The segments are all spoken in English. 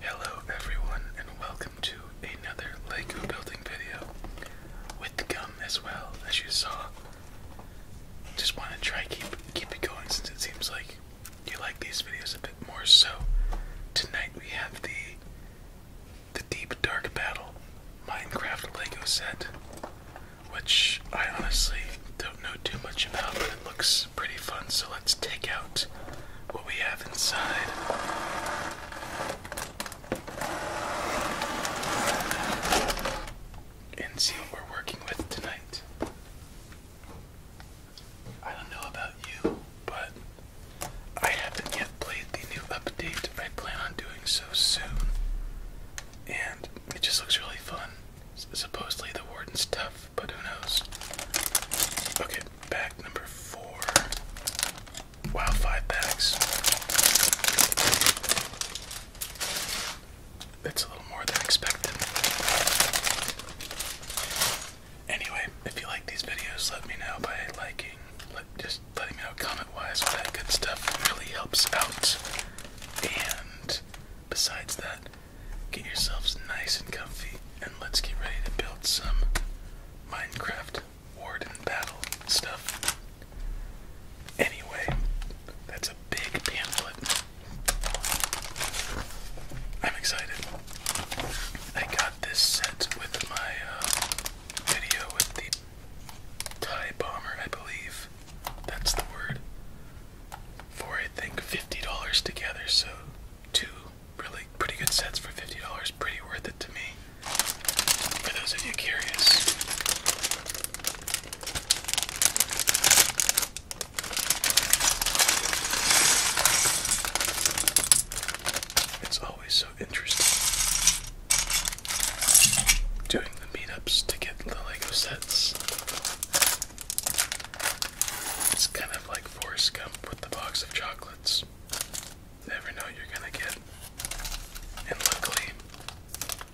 Hello everyone and welcome to another Lego building video with the gum as well as you saw. Just want to try keep keep it going since it seems like you like these videos a bit more so tonight we have the the deep dark battle Minecraft Lego set which I honestly don't know too much about, but it looks pretty fun. So let's take out what we have inside. And see what we're working with tonight. I don't know about you, but I haven't yet played the new update. I plan on doing so soon. And it just looks really fun. supposedly the warden's tough, but who knows? Okay, pack number four. Wow, five packs. That's a little more than expected. Anyway, if you like these videos, let me know by liking. just letting me know comment wise. All that good stuff really helps out. And Besides that, get yourselves nice and comfy and let's get ready to build some Minecraft Warden Battle stuff. Anyway, that's a big pamphlet. I'm excited. I got this set with my uh, video with the Tie Bomber, I believe. That's the word for I think $50 together, so two really pretty good sets for $50, pretty worth it to me. For those of you curious. It's always so interesting doing the meetups to get the Lego sets. It's kind of like Forrest Gump with the box of chocolates. never know you're gonna get. And luckily,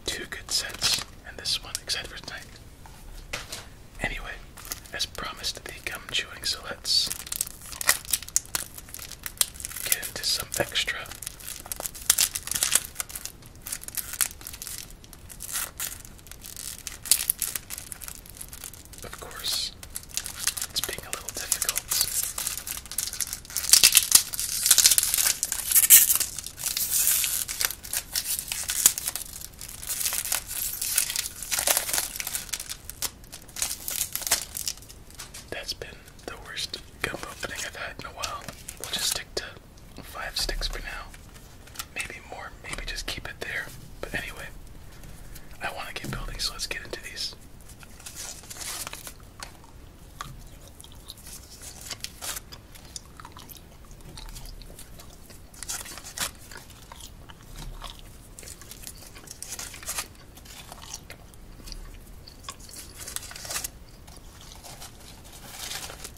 two good sets and this one, except for tonight. Anyway, as promised, the gum chewing, so let's get into some extra. Of course, it's being a little difficult. That's been the worst gum opening I've had in a while. We'll just stick to five sticks for now. Maybe more, maybe just keep it there. But anyway, I want to get building, so let's get into these.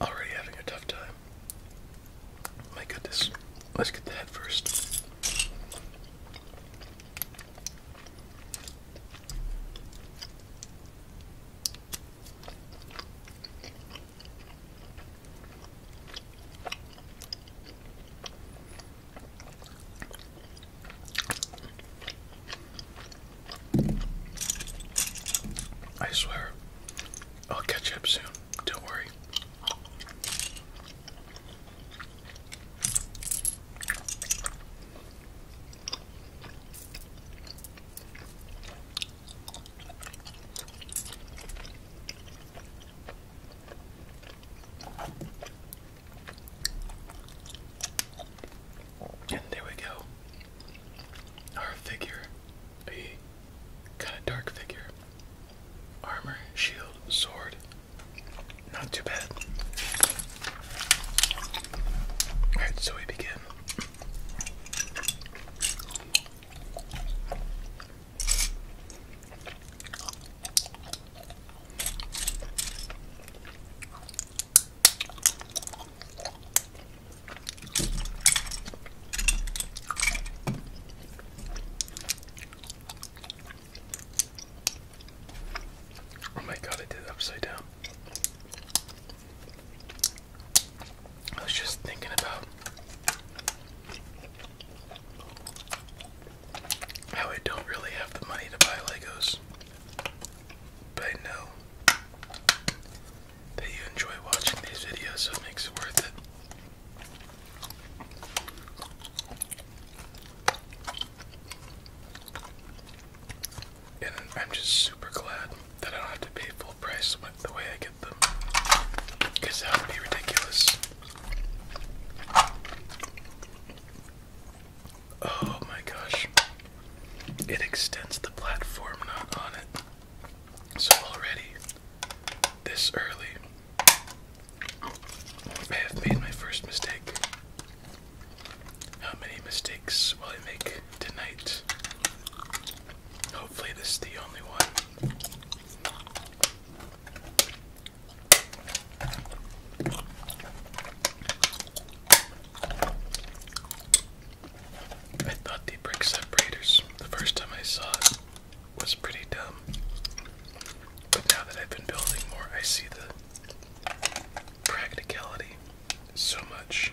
Already having a tough time. My goodness. Let's get the head first. I swear, I'll catch up soon. Don't worry. And there we go. Our figure. A kind of dark figure. Armor, shield, sword. Not too bad. Alright, so we begin. Oh my god, I did it upside down. I was just thinking about how I don't really have the money to buy Legos. But I know that you enjoy watching these videos, so it makes it worth it. And I'm just super glad that I don't have to pay full price the way I get them. Because that would be ridiculous. Oh my gosh. It extends the platform not on it. So already, this early, I have made my first mistake. How many mistakes will I make tonight? Hopefully, this is the only one. I thought the brick separators, the first time I saw it, was pretty dumb. But now that I've been building more, I see the practicality so much.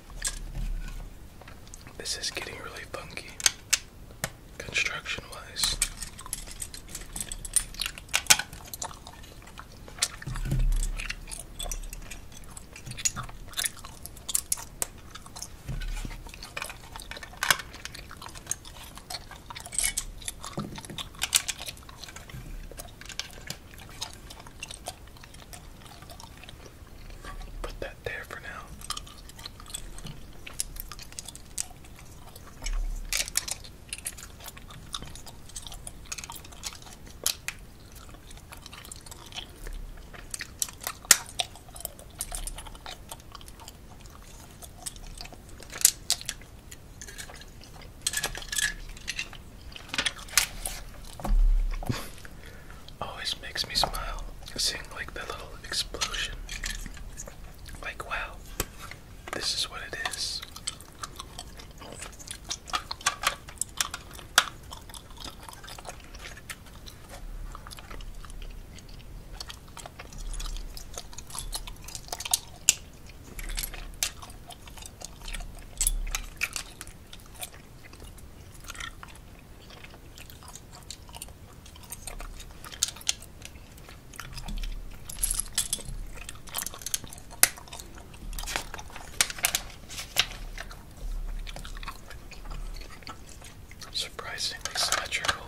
This is getting really funky, construction wise. Put that there for now. Always makes me smile sing like the little explosion. Like, wow, this is what it is. Surprisingly symmetrical.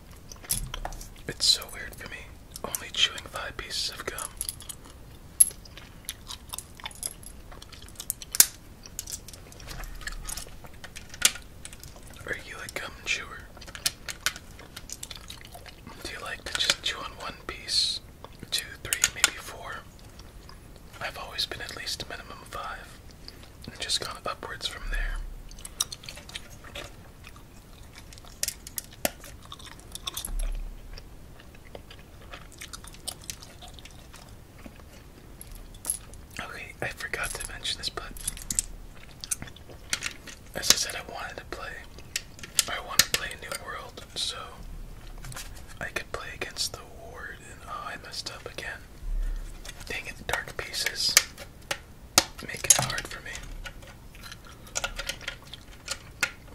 It's so weird for me, only chewing five pieces of gum. Are you a gum chewer? Do you like to just chew on one piece? Two, three, maybe four? I've always been at least a minimum five. It just gone upwards from there. Okay, I forgot to mention this, but as I said, I wanted to play. I want to play New World, so I could play against the Ward, and oh, I messed up again. Dang it, Dark Pieces. Make it hard for me.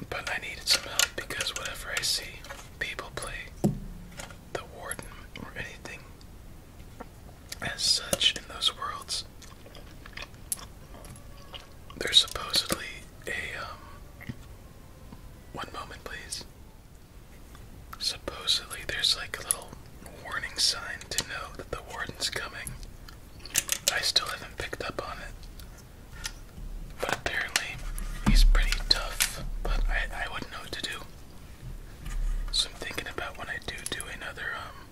But I needed some help because whatever I see people play the warden or anything as such in those worlds, there's supposedly a um one moment please. Supposedly, there's like a little warning sign to know that the warden's coming. I still haven't picked up on it. But apparently, he's pretty tough, but I, I wouldn't know what to do. So I'm thinking about when I do do another, um,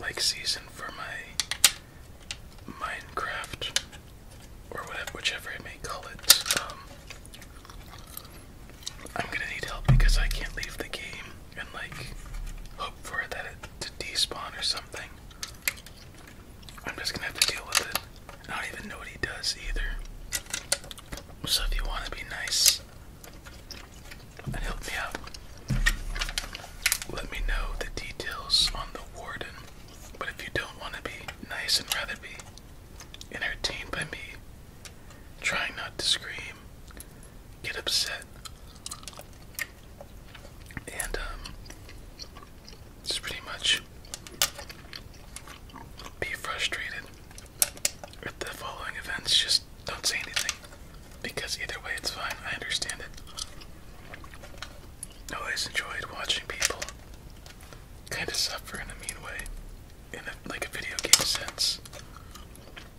like season for my Minecraft, or whatever, whichever I may call it, um, I'm gonna need help because I can't leave the game and like hope for it to despawn or something. I'm just gonna have to deal with it. I don't even know what he does either. So if you want to be nice and help me out, let me know the details on the warden. But if you don't want to be nice and rather be entertained by me trying not to scream, get upset. And um just pretty much be frustrated with the following events. Just don't say anything. Because either way it's fine. I understand it. always enjoyed watching people kind of suffer in a mean way in a, like a video game sense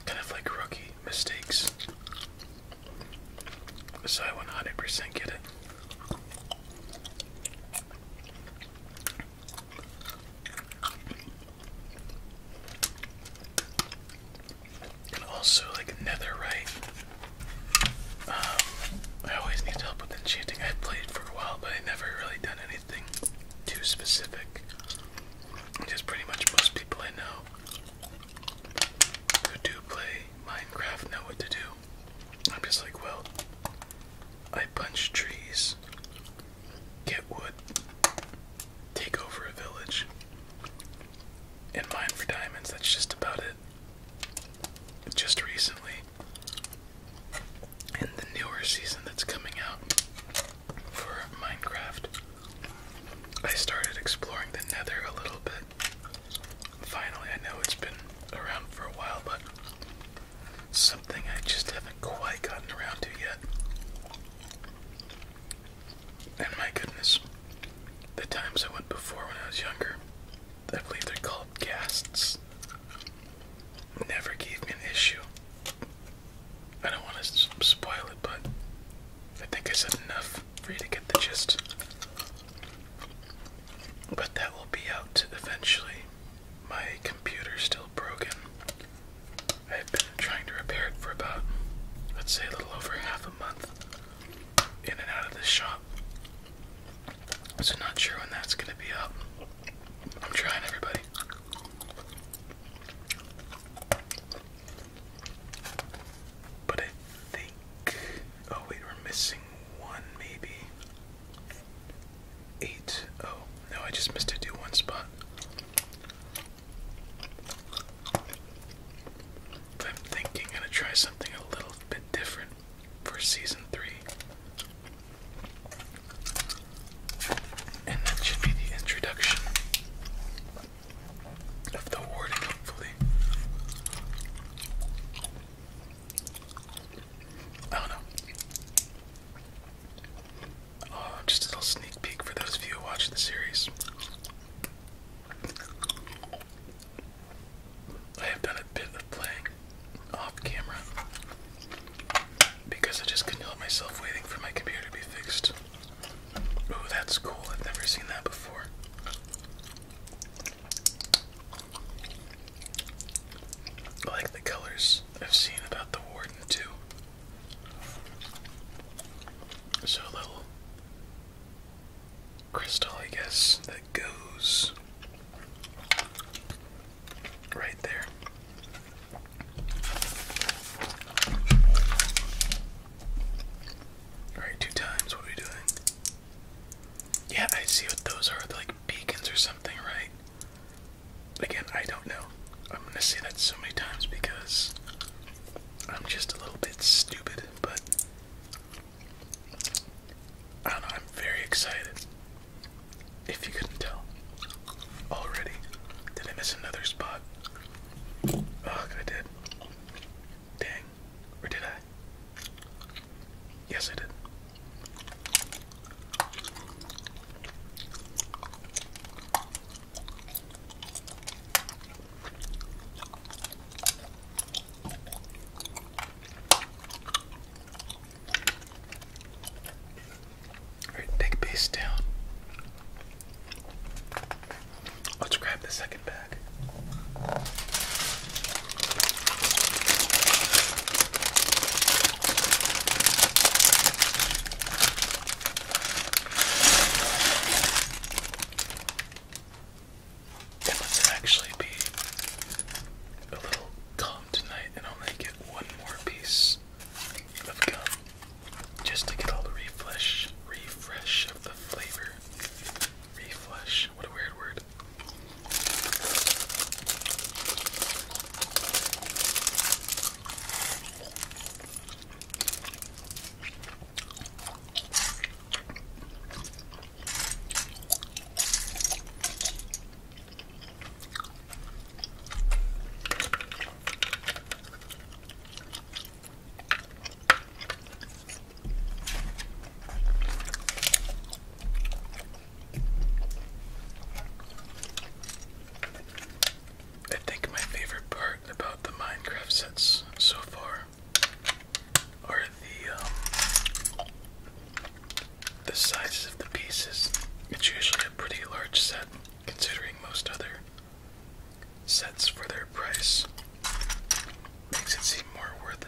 kind of like rookie mistakes. So I 100% get it. And also, like netherite. Um, I always need help with enchanting. I have played for a while, but I never really done anything too specific which pretty much most people I know who do play Minecraft know what to do. I'm just like, well, I punch trees, get wood, take over a village, and mine for diamonds. That's just about it. Just recently, in the newer season that's coming out, for Minecraft, I started exploring the nether a little bit. Finally, I know it's been around for a while, but something I just haven't quite gotten around to yet. And my goodness, the times I went before when I was younger, I believe they're called ghasts, never gave me an issue. I don't want to spoil it, but I think I said enough for you to get the gist. But that will be out eventually. My computer's still broken. I've been trying to repair it for about, let's say, a little over half a month in and out of this shop. So, not sure when that's going to be up. I'm trying, everybody. But I think. Oh, wait, we're missing one, maybe. Eight. Oh, no, I just missed it do one spot. I'm thinking I'm gonna try something a little bit different for season three. And that should be the introduction of the warding, hopefully. I don't know. Oh, just a little sneak peek for those of you who watch the series. I have done a bit of playing off camera because I just couldn't help myself waiting for my computer to be fixed. Ooh, that's cool. I've never seen that before. I like the colors I've seen about the warden too. So a little crystal, I guess, that goes right there. Alright, two times. What are we doing? Yeah, I see what those are. They're like beacons or something, right? Again, I don't know. I'm gonna say that so many times because I'm just a little bit stupid, but I don't know. I'm very excited. If you couldn't tell already. Did I miss another spot? Ugh, I did. Dang. Or did I? Yes, I did. Alright, take base down. Let's grab the second bag. let's actually be a little calm tonight, and I'll one more piece of gum just to get all the refresh, refresh of the flavor. Refresh, what a weird word. I think my favorite part about the Minecraft sets so far are the um, the sizes of the pieces. It's usually a pretty large set considering most other sets for their price. Makes it seem more worth it.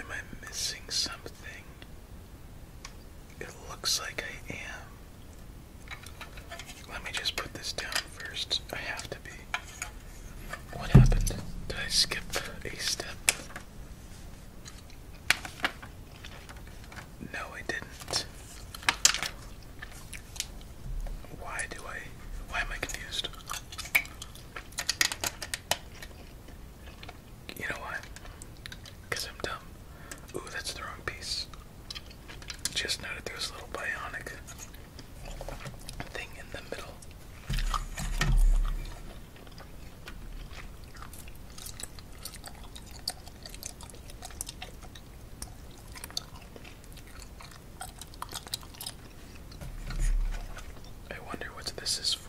Am I missing something? It looks like I am. Let me just put this down first. I have to be. What happened? Did I skip a step? No, I didn't. Why do I. Why am I confused? You know why? Because I'm dumb. Ooh, that's the wrong piece. Just noted there a little bionic thing in the middle. I wonder what this is for.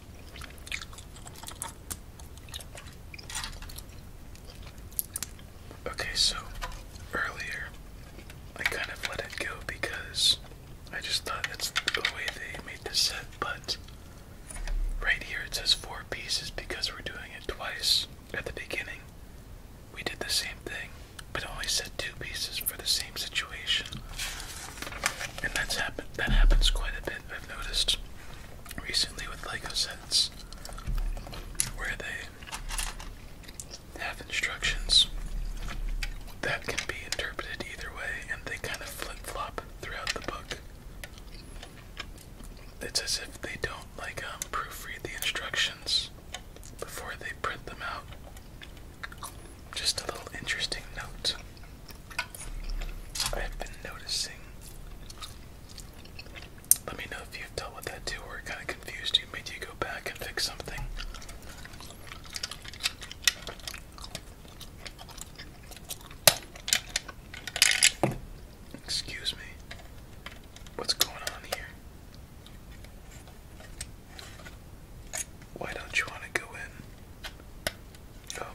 Okay, so earlier I kind of let it go because I just thought that's the way they made the set, but right here it says four pieces because we're doing it twice at the beginning. We did the same thing, but only said two pieces for the same same situation, and that's happened. That happens quite a bit. I've noticed recently with Lego sets, where they have instructions that can be interpreted either way, and they kind of flip-flop throughout the book. It's as if they don't like um, proofread the instructions before they print them out. Just a little interesting note. I have been noticing. Let me know if you've dealt with that too, or it kind of confused you, made you go back and fix something. Excuse me. What's going on here? Why don't you want to go in? Oh,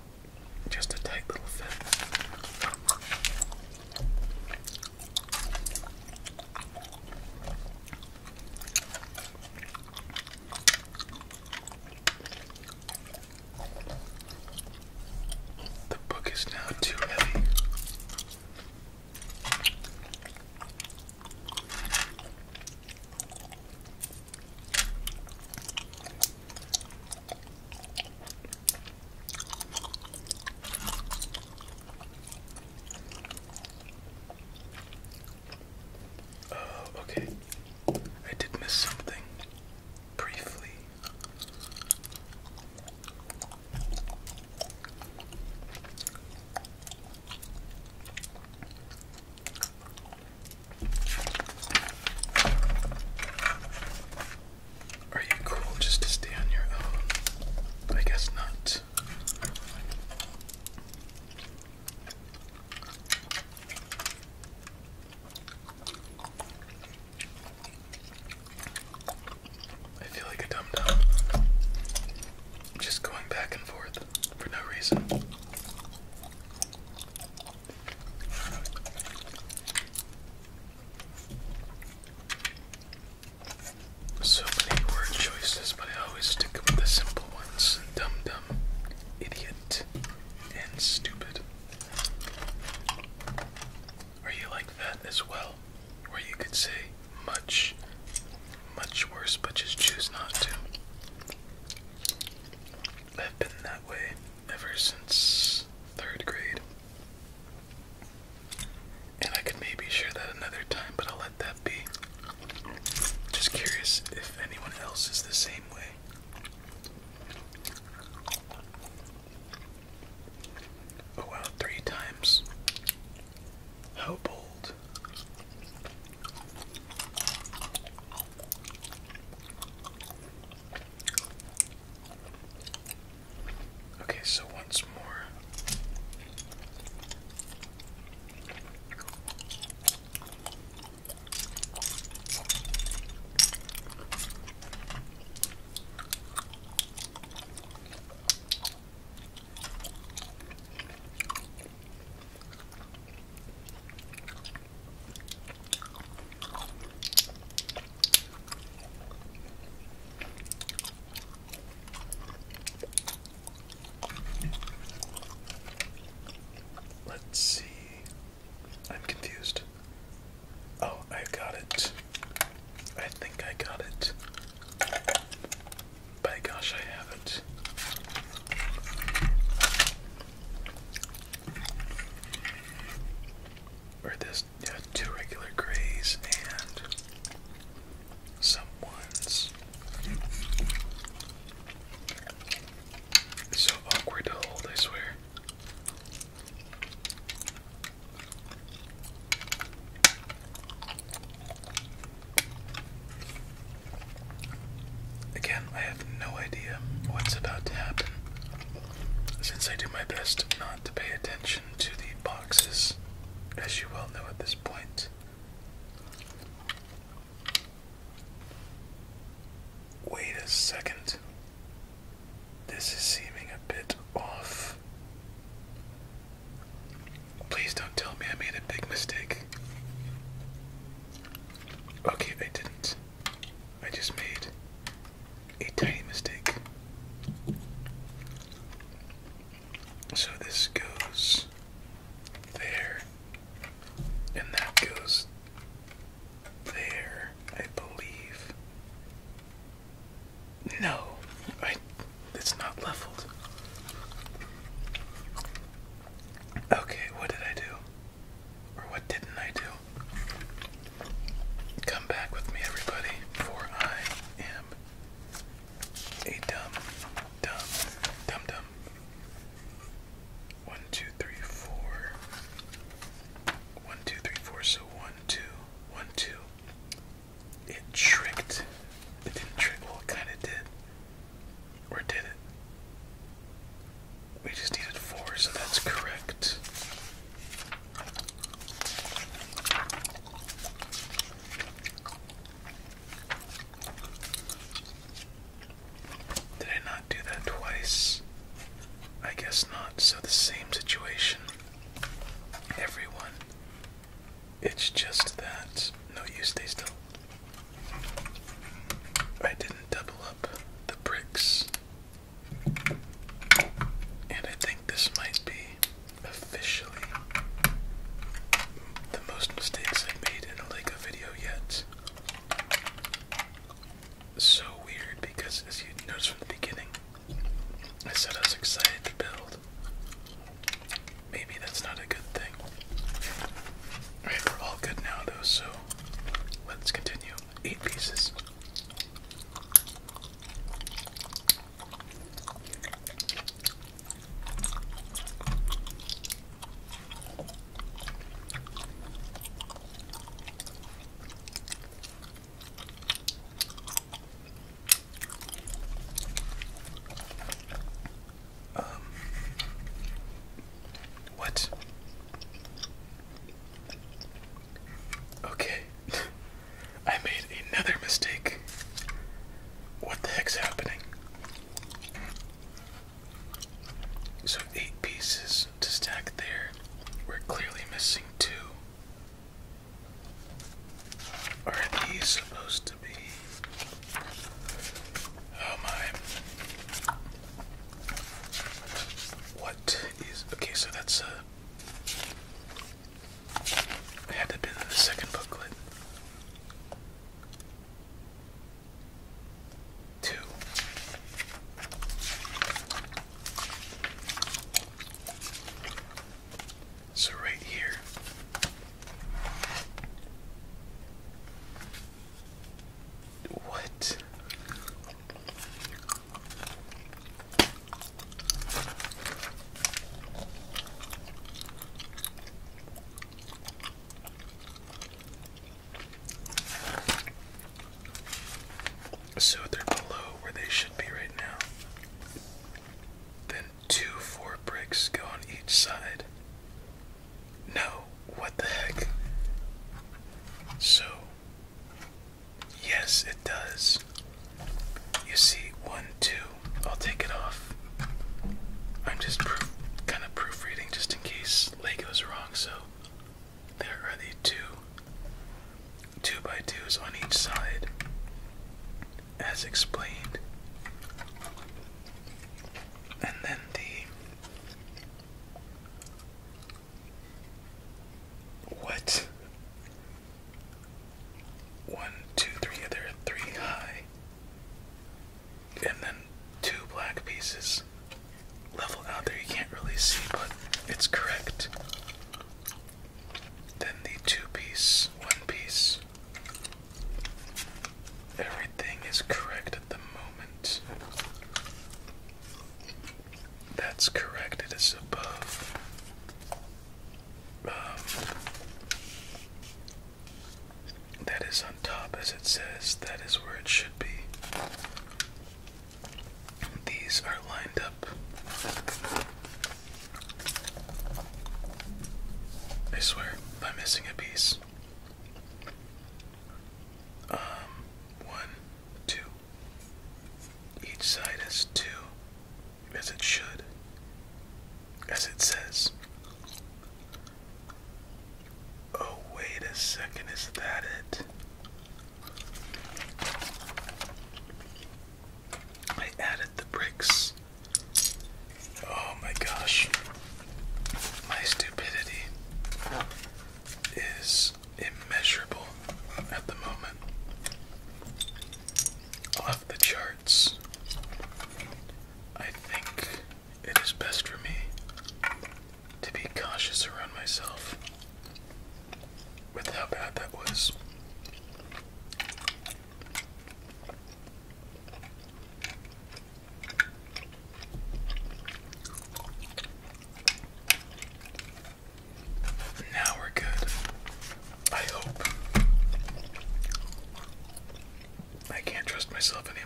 just a tight little fit. The book is now too heavy. Oh, okay. I did miss something briefly. Are you cool just to stay on your own? I guess not. I feel like a dumb dum. Just going back and forth for no reason. So many word choices, but I always stick with the simple ones. Dumb dumb, idiot, and stupid. Are you like that as well? Where you could say much, much worse, but just choose not to. I've been that way ever since third grade. And I could maybe share that another time, but I'll let that be. Just curious if anyone else is the same way. Oh wow, three times. How bold. Okay, so once more. Let's see. I'm confused. Oh, I got it. I think I got it. By gosh, I have it. Or this, two regular grays and some ones. so awkward to hold, I swear. Again, I have no idea what's about to happen since I do my best not to pay attention to the boxes, as you well know at this point. Wait a second. This is seeming a bit off. Please don't tell me I made a big mistake. Okay, I didn't. I just made a tiny mistake. So this goes there, and that goes there, I believe. No, I. It's not leveled. Okay, what did I do? Or what didn't I do? Come back with me, everybody, for I am a dumb, dumb, dumb, dumb. One, two, three, four. One, two, three, four. So one, two, one, two. It tricked. It didn't trick. Well, it kind of did. Or did it? We just needed four, so that's correct. Did I not do that twice? I guess not. So, the same situation. Everyone. It's just that. No, use. stay still. I didn't double up the bricks. And I think this might be officially the most mistakes i made in a Lego video yet. So weird because, as you noticed from the beginning, I said I was excited to build. Maybe that's not a good thing. Alright, we're all good now, though, so Let's continue. Eight pieces. Um, what? Okay. I made another mistake. What the heck's happening? So, eight pieces to stack there. We're clearly missing two. Are these supposed to be Oh my. What is. Okay, so that's Uh, had to have the second booklet. Two. So right here. What? So they're below where they should be right now. Then two four bricks go on each side. No, what the heck? So, yes, it does. You see, one, two. I'll take it off. I'm just kind of proofreading just in case Lego's wrong, so there are the two two by twos on each side, as explained. And then the what? One, two, three, there are three high. And then two black pieces Level out there. You can't really see, but it's correct. Then the two piece, one piece. Everything is correct at the moment. That's correct, it is above. Um, that is on top, as it says, that is where it should be. These are lined up. I swear, I'm missing a piece. Um, one, two. Each side has two, as it should, as it says. Oh, wait a second, is that it? I added the bricks. Oh my gosh. My stupidity is immeasurable at the moment. Off the charts. I think it is best for me to be cautious around myself with how bad that was. Now we're good. I hope. I can't trust myself anymore.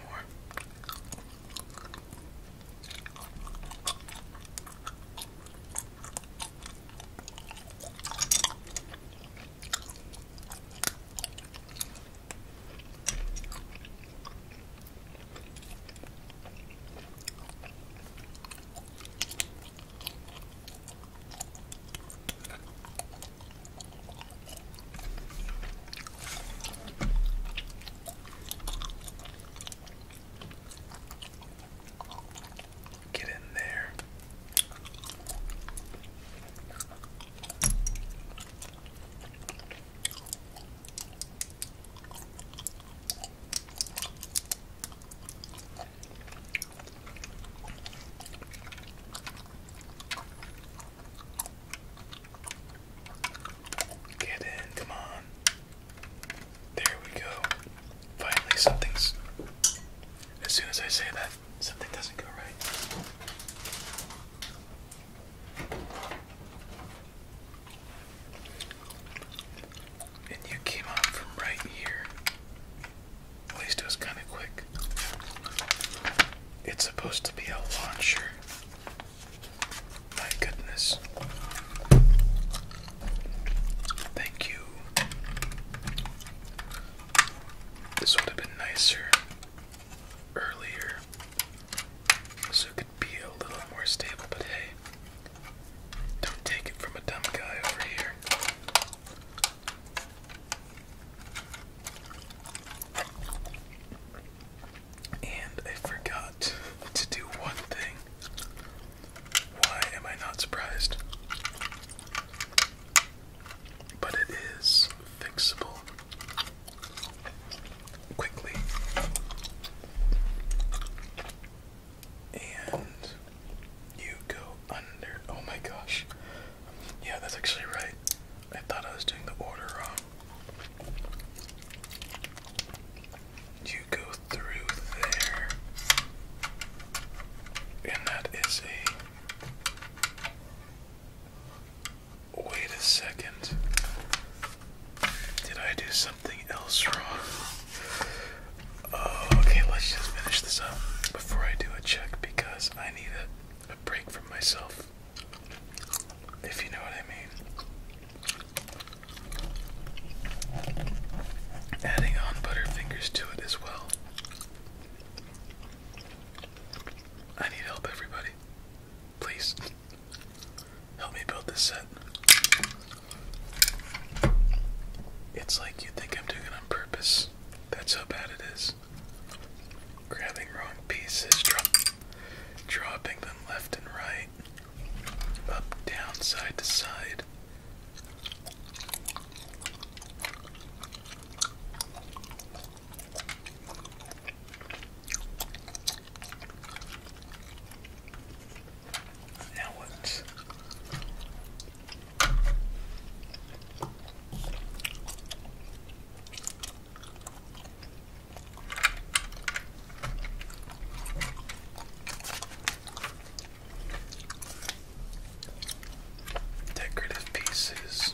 Get in there. Get in, come on. There we go. Finally, something's. As soon as I say that, something doesn't go right. And you came out from right here. At least it was kind of quick. It's supposed to be a launcher. My goodness. Thank you. This would have been nicer earlier so it could be a little more stable, but hey, don't take it from a dumb guy over here. And I forgot to do one thing. Why am I not surprised? But it is fixable quickly. And you go under. Oh my gosh. Yeah, that's actually right. I thought I was doing the order wrong. You go through there. And that is a Wait a second. Did I do something else wrong? Oh, okay, let's just finish this up before I do a check because I need a, break from myself. If you know what I mean. Adding on Butterfingers to it as well. I need help, everybody. Please help me build this set. It's like you think I'm doing it on purpose. That's how bad it is. Grabbing wrong pieces, dropping them left and right, up, down, side to side. Now what? Decorative pieces.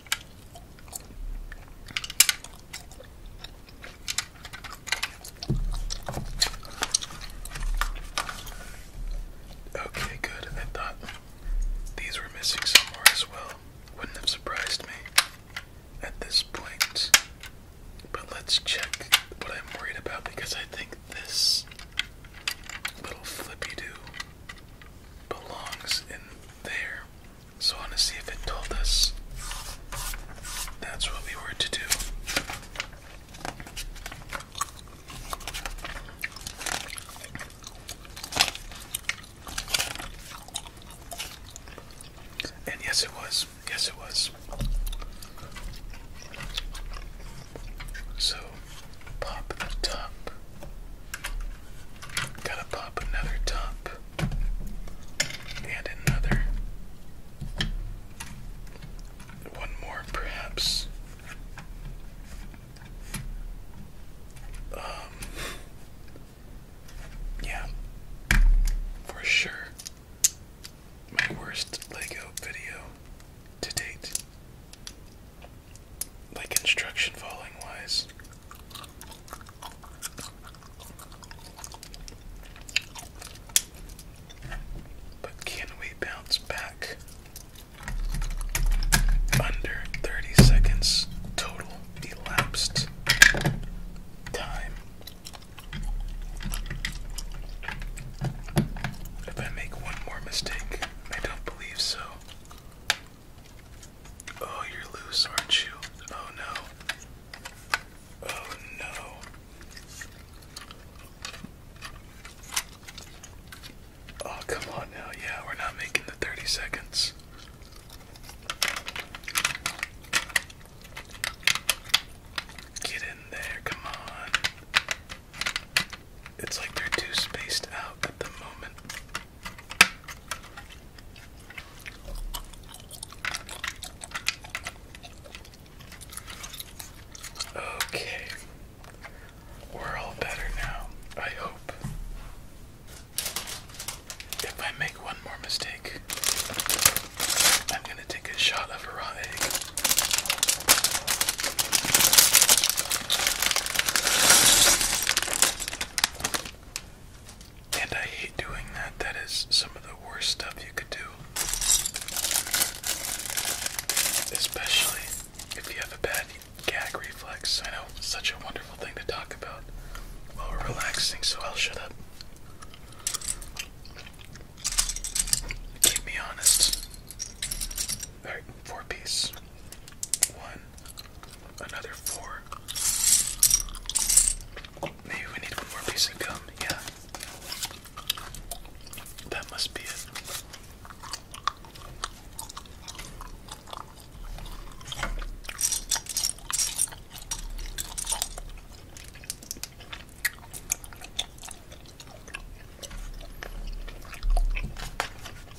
Okay, good. I thought these were missing somewhere as well. Wouldn't have surprised me at this point. But let's check what I'm worried about because I think this little flippy do belongs in there. So I want to see if it told us that's what we were to do. And yes, it was. Yes, it was. So Pop the top. Gotta pop another top. And another. One more, perhaps. Um. Yeah. For sure. My worst Lego video to date. Like instruction following wise. But can we bounce back under 30 seconds total elapsed time? If I make one more mistake, I don't believe so. Oh, you're loose, aren't you? Oh no. Oh no. Oh, come on now. Yeah, we're not making the 30 seconds. Get in there, come on. It's like they're too spaced out at the moment. Okay. We're all better now, I hope. If I make one more mistake, I'm gonna take a shot of raw egg. And I hate doing that. That is some of the worst stuff you could do. Especially if you have a bad gag reflex. I know such a wonderful thing to talk about while relaxing, so I'll shut up. Keep me honest. Alright, four piece. One. Another four. Maybe we need one more piece of gum. Yeah. That must be it.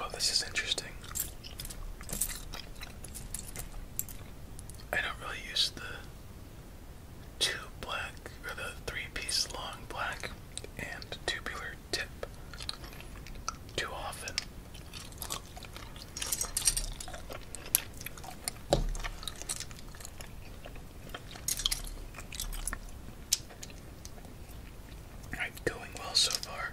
Oh, this is interesting. I don't really use the two black or the three piece long black and tubular tip too often going well so far.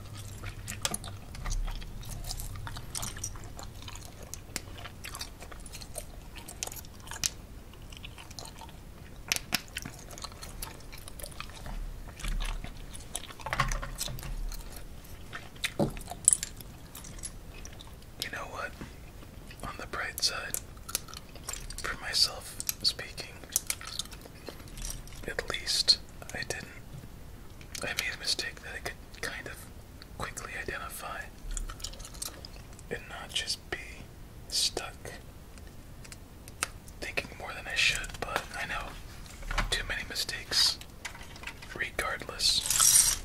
You know what? On the bright side, for myself speaking, at least I didn't. I made a mistake that I could kind of quickly identify and not just be stuck thinking more than I should, but I know too many mistakes regardless.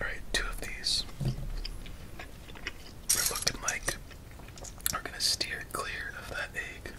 Alright, two of these. We're looking like we're gonna steer clear of that egg.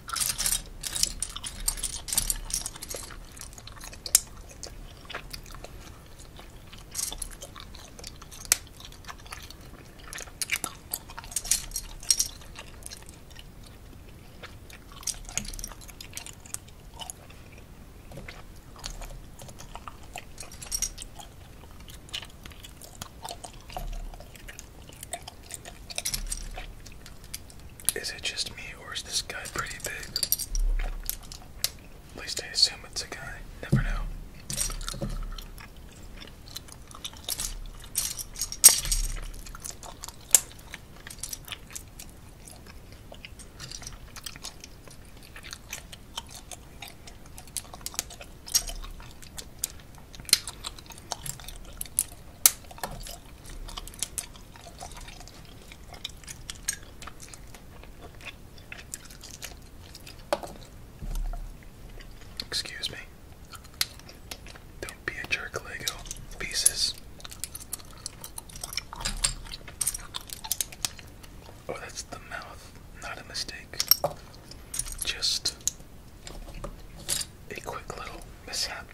Is it just me or is this guy pretty big? At least I assume it's a guy. Never know. Excuse me. Don't be a jerk, Lego pieces. Oh, that's the mouth. Not a mistake. Just a quick little mishap.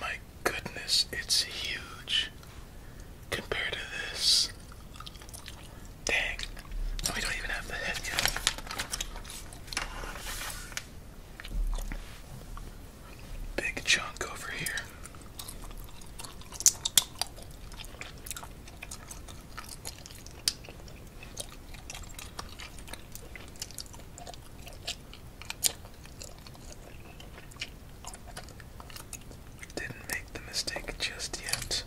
My goodness, it's huge compared to this. Dang, oh, we don't even have the head yet. Big chunk over here. Didn't make the mistake just yet.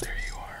There you are.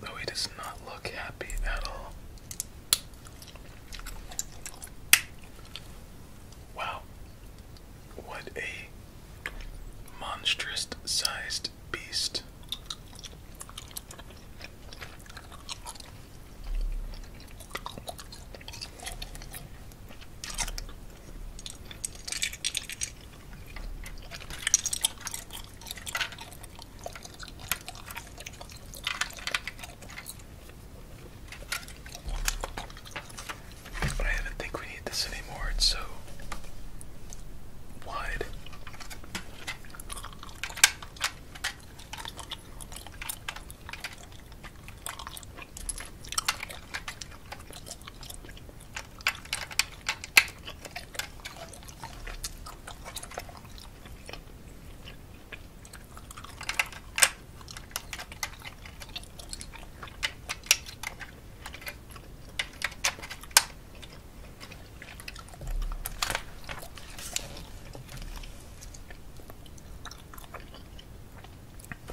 Though he does not look happy at all. Wow. What a monstrous sized beast. But I don't think we need this anymore, it's so wide.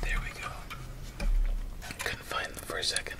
There we go. Couldn't find them for a second.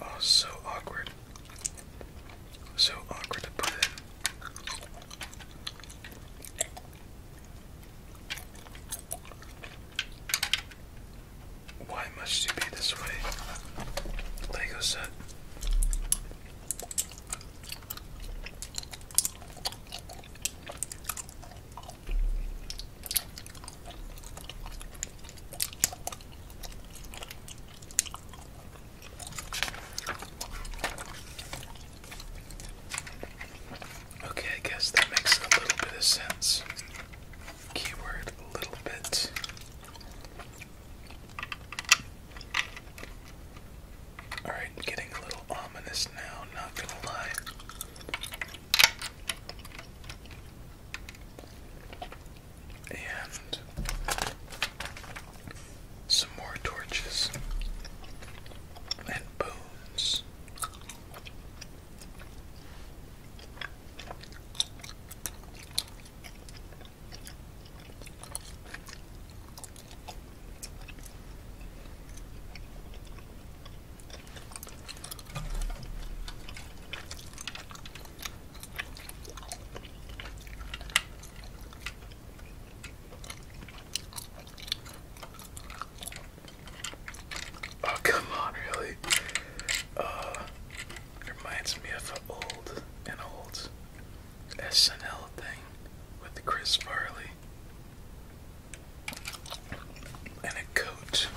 Oh, so awkward. So awkward to put in. Why must you be this way? Lego set. Okay, I guess that makes a little bit of sense. Keyword little bit. Alright, getting a little ominous now, not gonna lie. And some more torches and bones. Oh, come on, really? Uh, reminds me of an old, an old SNL thing with Chris Farley and a coat.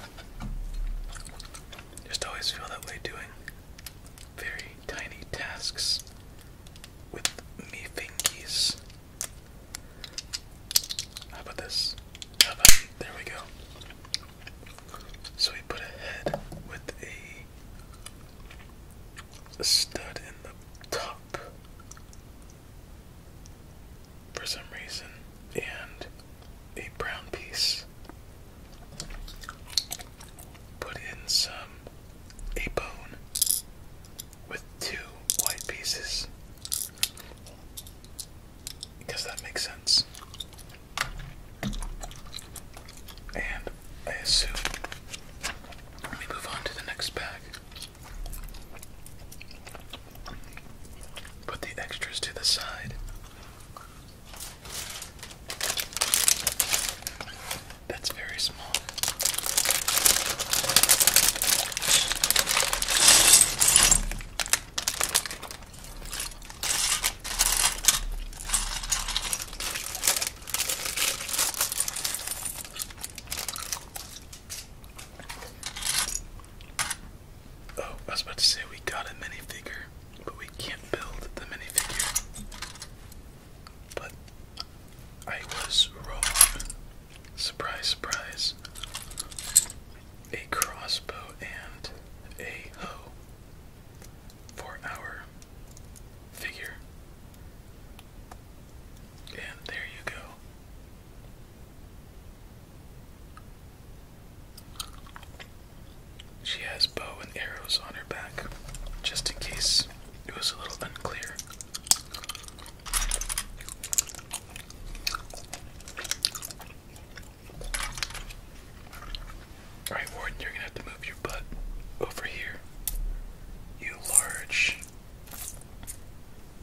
Just always feel that way doing very tiny tasks with me fingies. How about this? there we go. So we put a head with a stud in the top for some reason, and a brown piece. Put in some a bone with two white pieces because that makes sense. And I assume we move on to the next bag. Put the extras to the side. That's very small. Oh, I was about to say we got a minifigure, but we can't build the minifigure. But I was wrong. Surprise, surprise. A crossbow and a hoe for our figure. And there you go. She has bow and arrows on her back, just in case it was a little unclear. Alright, Warden, you're gonna have to move your butt over here. You large,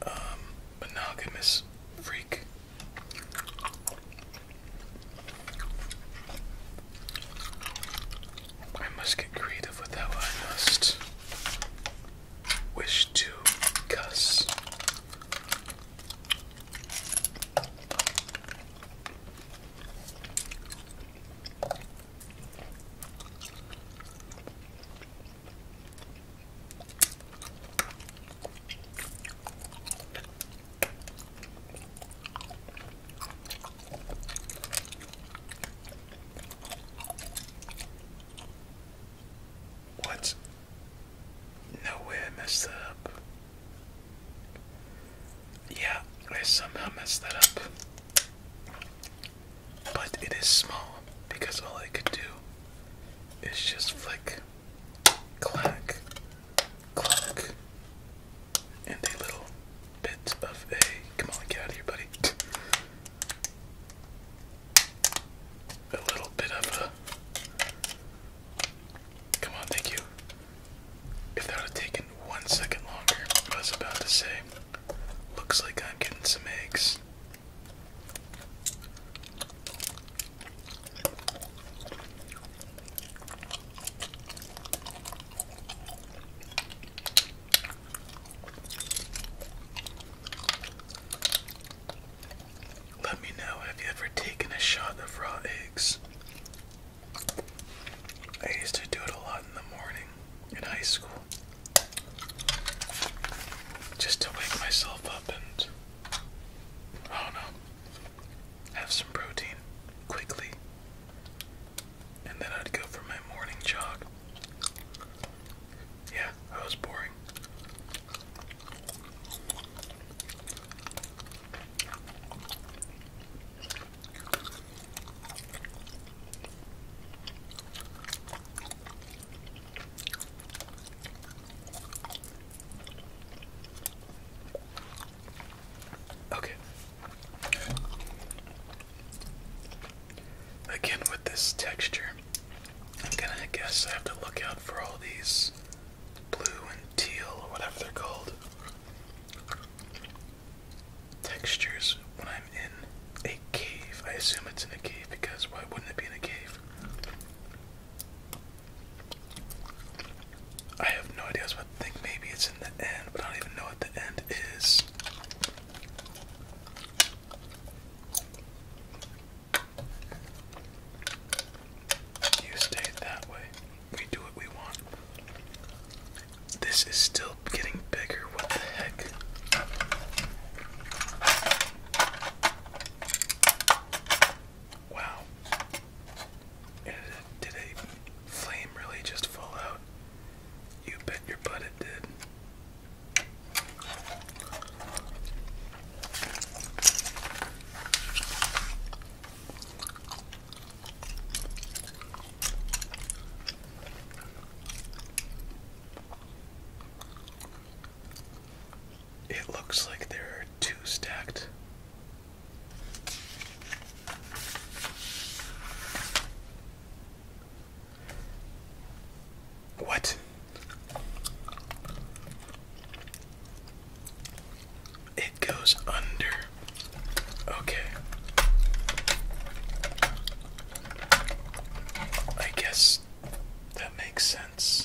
um, monogamous freak. I must get creative with how I must wish to cuss. What? No messed up. Yeah, I somehow messed that up. But it is small because all I could do it's just flick, clack, clack, and a little bit of a. Come on, get out of here, buddy. A little bit of a. Come on, thank you. If that would have taken one second longer, I was about to say, looks like I'm getting some eggs. Let me know have you ever taken a shot of raw eggs? I used to do it a lot in the morning in high school just to wake myself up and Oh no. Have some protein quickly. And then I'd go for my morning jog. Yeah, that was boring. Okay. Again, with this texture, I'm gonna guess I have to look out for all these blue and teal, or whatever they're called, textures when I'm in a cave. I assume it's in a cave because why wouldn't it be in a cave? I have no idea. I think maybe it's in the end, but I don't even know what the end is. You stay that way. We do what we want. This is still getting bigger. What the heck? Wow. Did a flame really just fall out? You bet your butt it did. It looks like there are two stacked. What? It goes under. Okay. I guess that makes sense.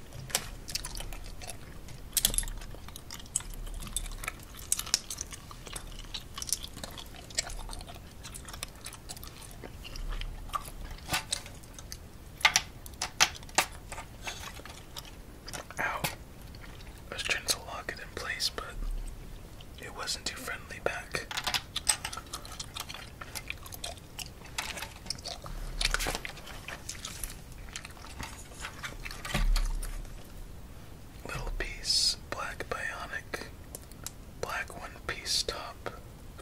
Ow. I was trying to lock it in place, but it wasn't too friendly back. Little piece, black bionic, black one piece top,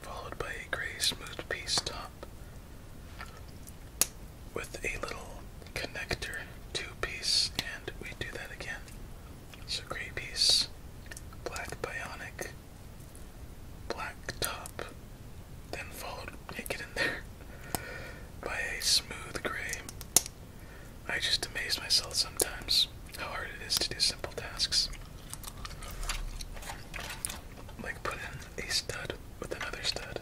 followed by a gray smooth piece top with a little connector two piece, and we do that again. So gray piece, black bionic, black top, then followed naked in there by a smooth gray. I just amaze myself sometimes how hard it is to do simple tasks. Like put in a stud with another stud.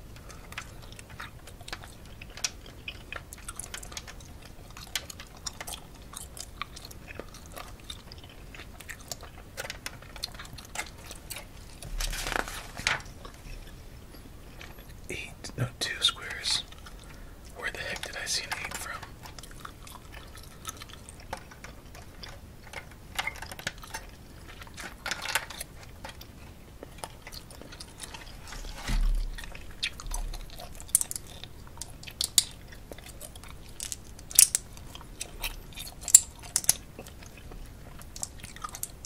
Eight, no, two squares. Where the heck did I see an eight from?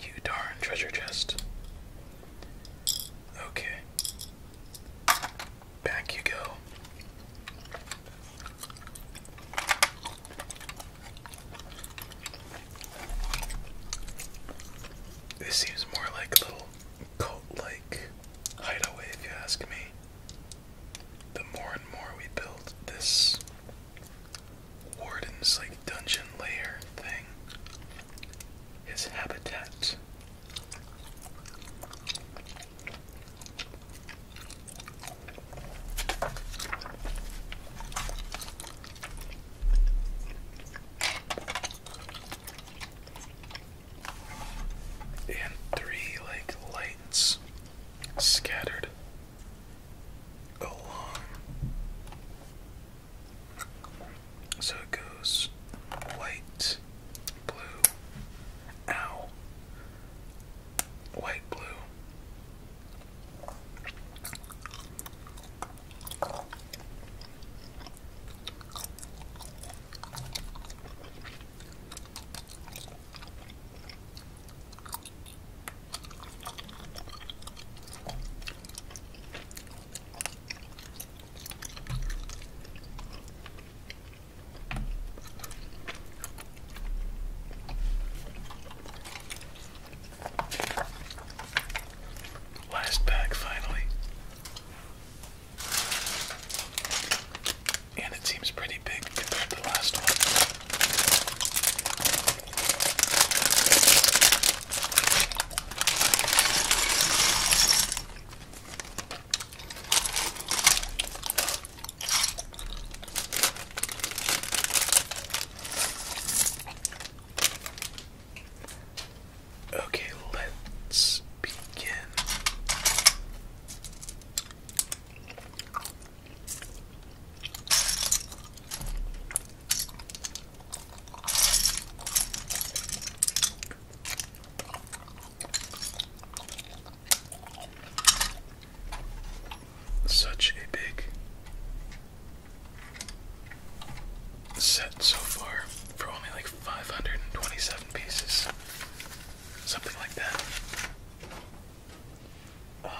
You darn treasure chest. Okay. Back you go. This seems more like a little cult like hideaway, if you ask me. The more and more we build this warden's like dungeon layer thing, is habitat and three like lights scattered along so it goes white, blue, ow, white, blue. Last bag finally. And it seems pretty big compared to the last one. Okay, let's begin. Such a big set so far for only like 527 pieces. Something like that. Um,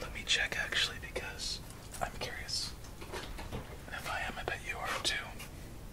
let me check actually because I'm curious. if I am, I bet you are too.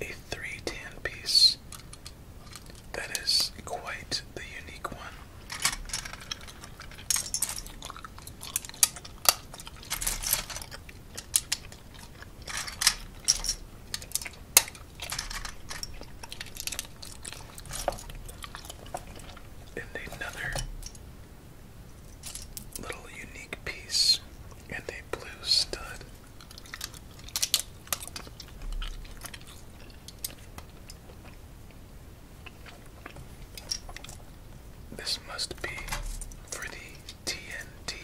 A three tan piece. That is quite the unique one. And another little unique piece and a blue stud. This must be for the TNT.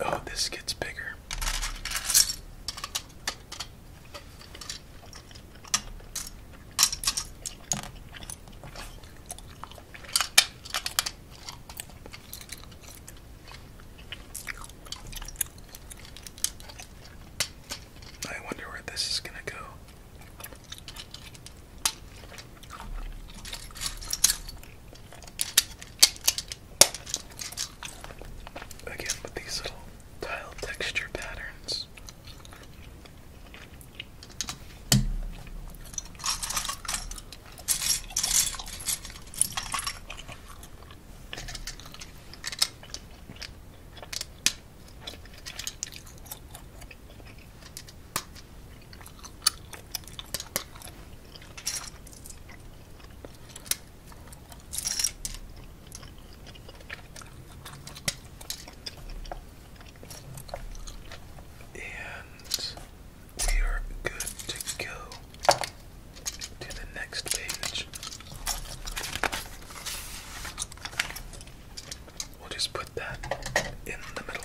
Oh, this gets bigger. I wonder where this is going to go. Again, with these little tile texture patterns. And we are good to go to the next page. We'll just put that in the middle.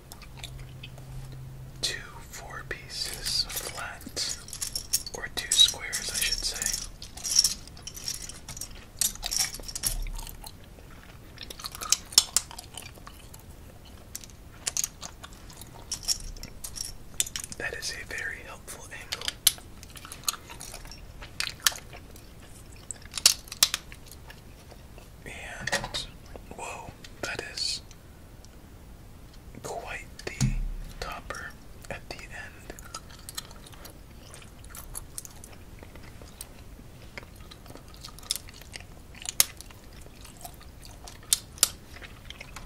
two four pieces flat, or two squares, I should say. That is a very helpful angle. And whoa, that is quite the topper at the end.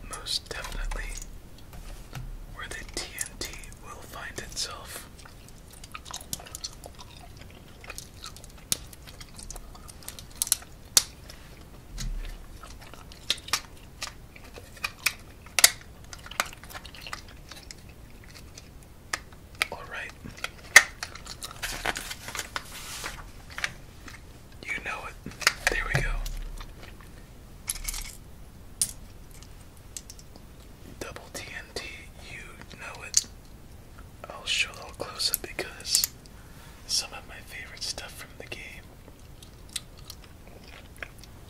Most definitely, where the TNT will find itself. All right. You know it. There we go. Double TNT, you know it. I'll show a little close up because some of my favorite stuff from the game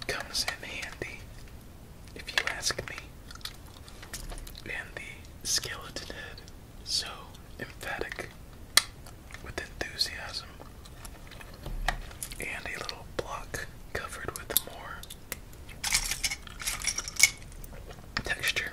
comes in handy, if you ask me. And the skeleton head, so emphatic with enthusiasm, and a little block covered with more texture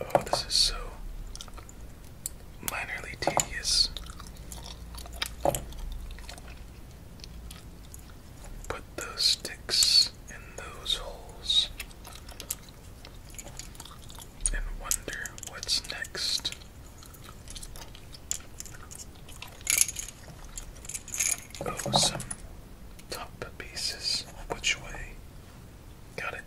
Oh, this is so minorly tedious. Put those sticks in those holes and wonder what's next. Oh, some top pieces. Which way? Got it.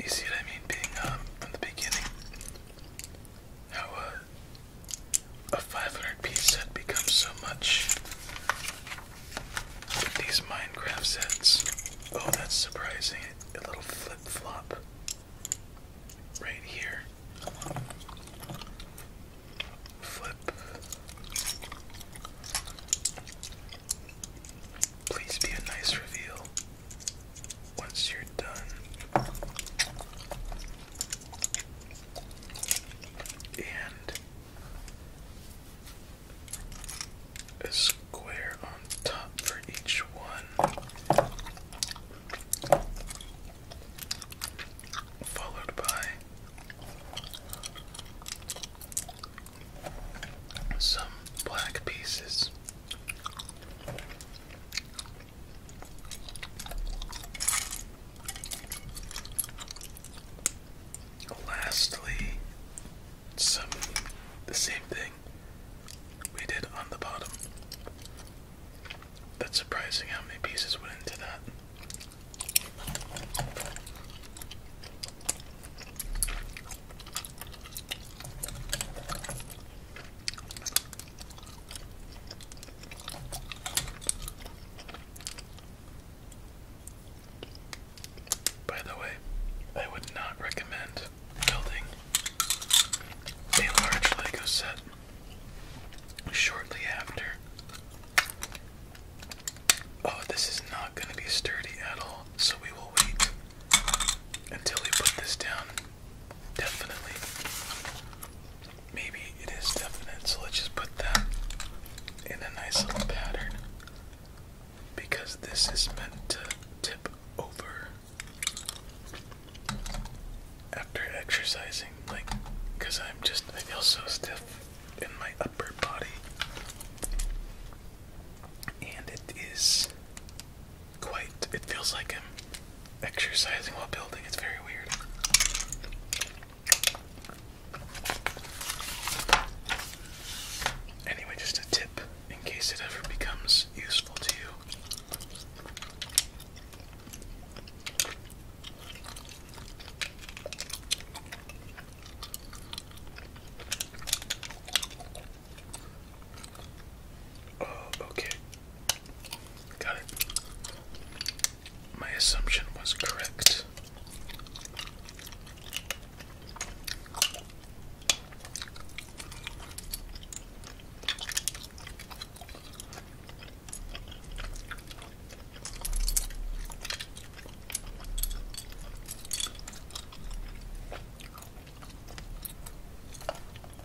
You see what I mean being um from the beginning? How uh, a 500 piece set becomes so much these Minecraft sets. Oh, that's surprising. A little flip flop right here. Flip. Please be a nice reveal once you're done. And a square on top for each one, followed by some black pieces lastly, some the same thing we did on the bottom. That's surprising how many pieces went into that. By the way, I would not recommend building a large Lego set shortly after. Oh, this is not going to be sturdy at all, so we will wait until we put this down. Definitely. Maybe it is definite, so let's just put that in a nice little pattern because this is meant to tip over after exercising, like, because I'm just, I feel so stiff in my upper body. And it is quite, it feels like I'm exercising while building. It's very weird. Anyway, just a tip in case it ever becomes useful to you. Oh, okay. Got it. My assumption was correct.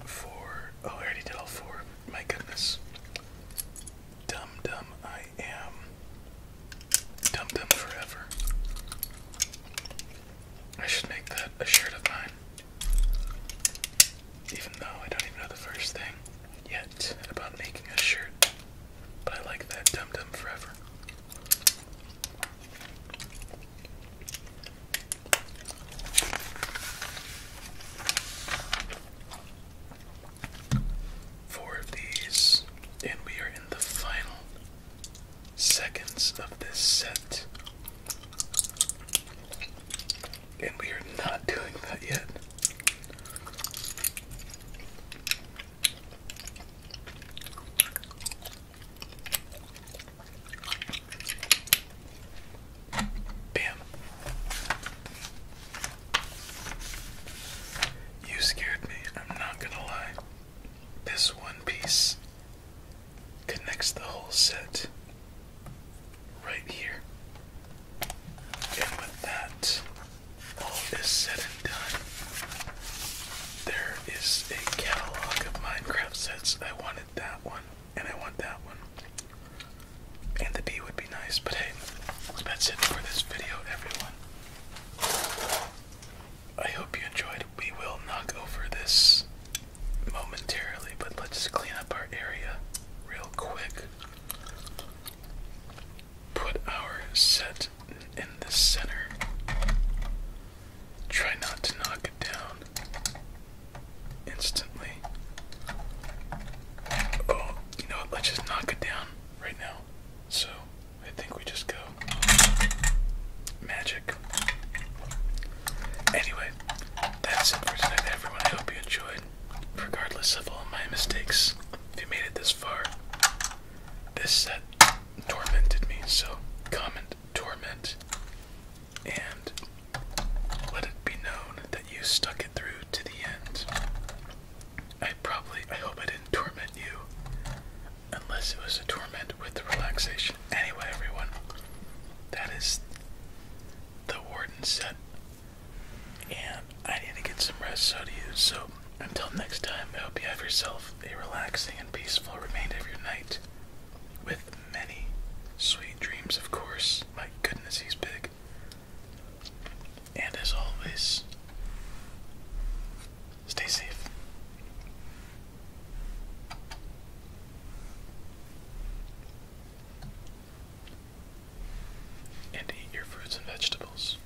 Four. Oh, I already did all four. My goodness. Dumb, dumb, I am Dum Dum Forever. I should make that a shirt of mine. Even though I don't even know the first thing yet about making a shirt. But I like that Dum Dum Forever four of these, and we are in the final seconds of this set. And we are not doing that yet. Bam. You scared me, I'm not gonna lie. This one piece connects the whole set right here. And with that, all is said and done. There is a catalog of Minecraft sets. I wanted that one, and I want that one. And the B would be nice, but hey, that's it for this video, everyone. I hope you enjoyed. We will knock over this momentarily, but let's just clean up our area real quick. Put our set in the center. Try not to knock it down instantly. Oh, you know what? Let's just knock it down right now. So I think we just go magic. Anyway, that's it for tonight, everyone. I hope you enjoyed, regardless of all my mistakes. If you made it this far, this set tormented me, so comment torment and let it be known that you stuck it through to the end. I probably, I hope I didn't torment you. Unless it was a torment with the relaxation. Anyway, everyone, that is the warden said, And I need to get some rest, so do you. So until next time, I hope you have yourself a relaxing and peaceful remainder of your night. With many sweet dreams, of course. My goodness, he's big. And as always, stay safe. And eat your fruits and vegetables.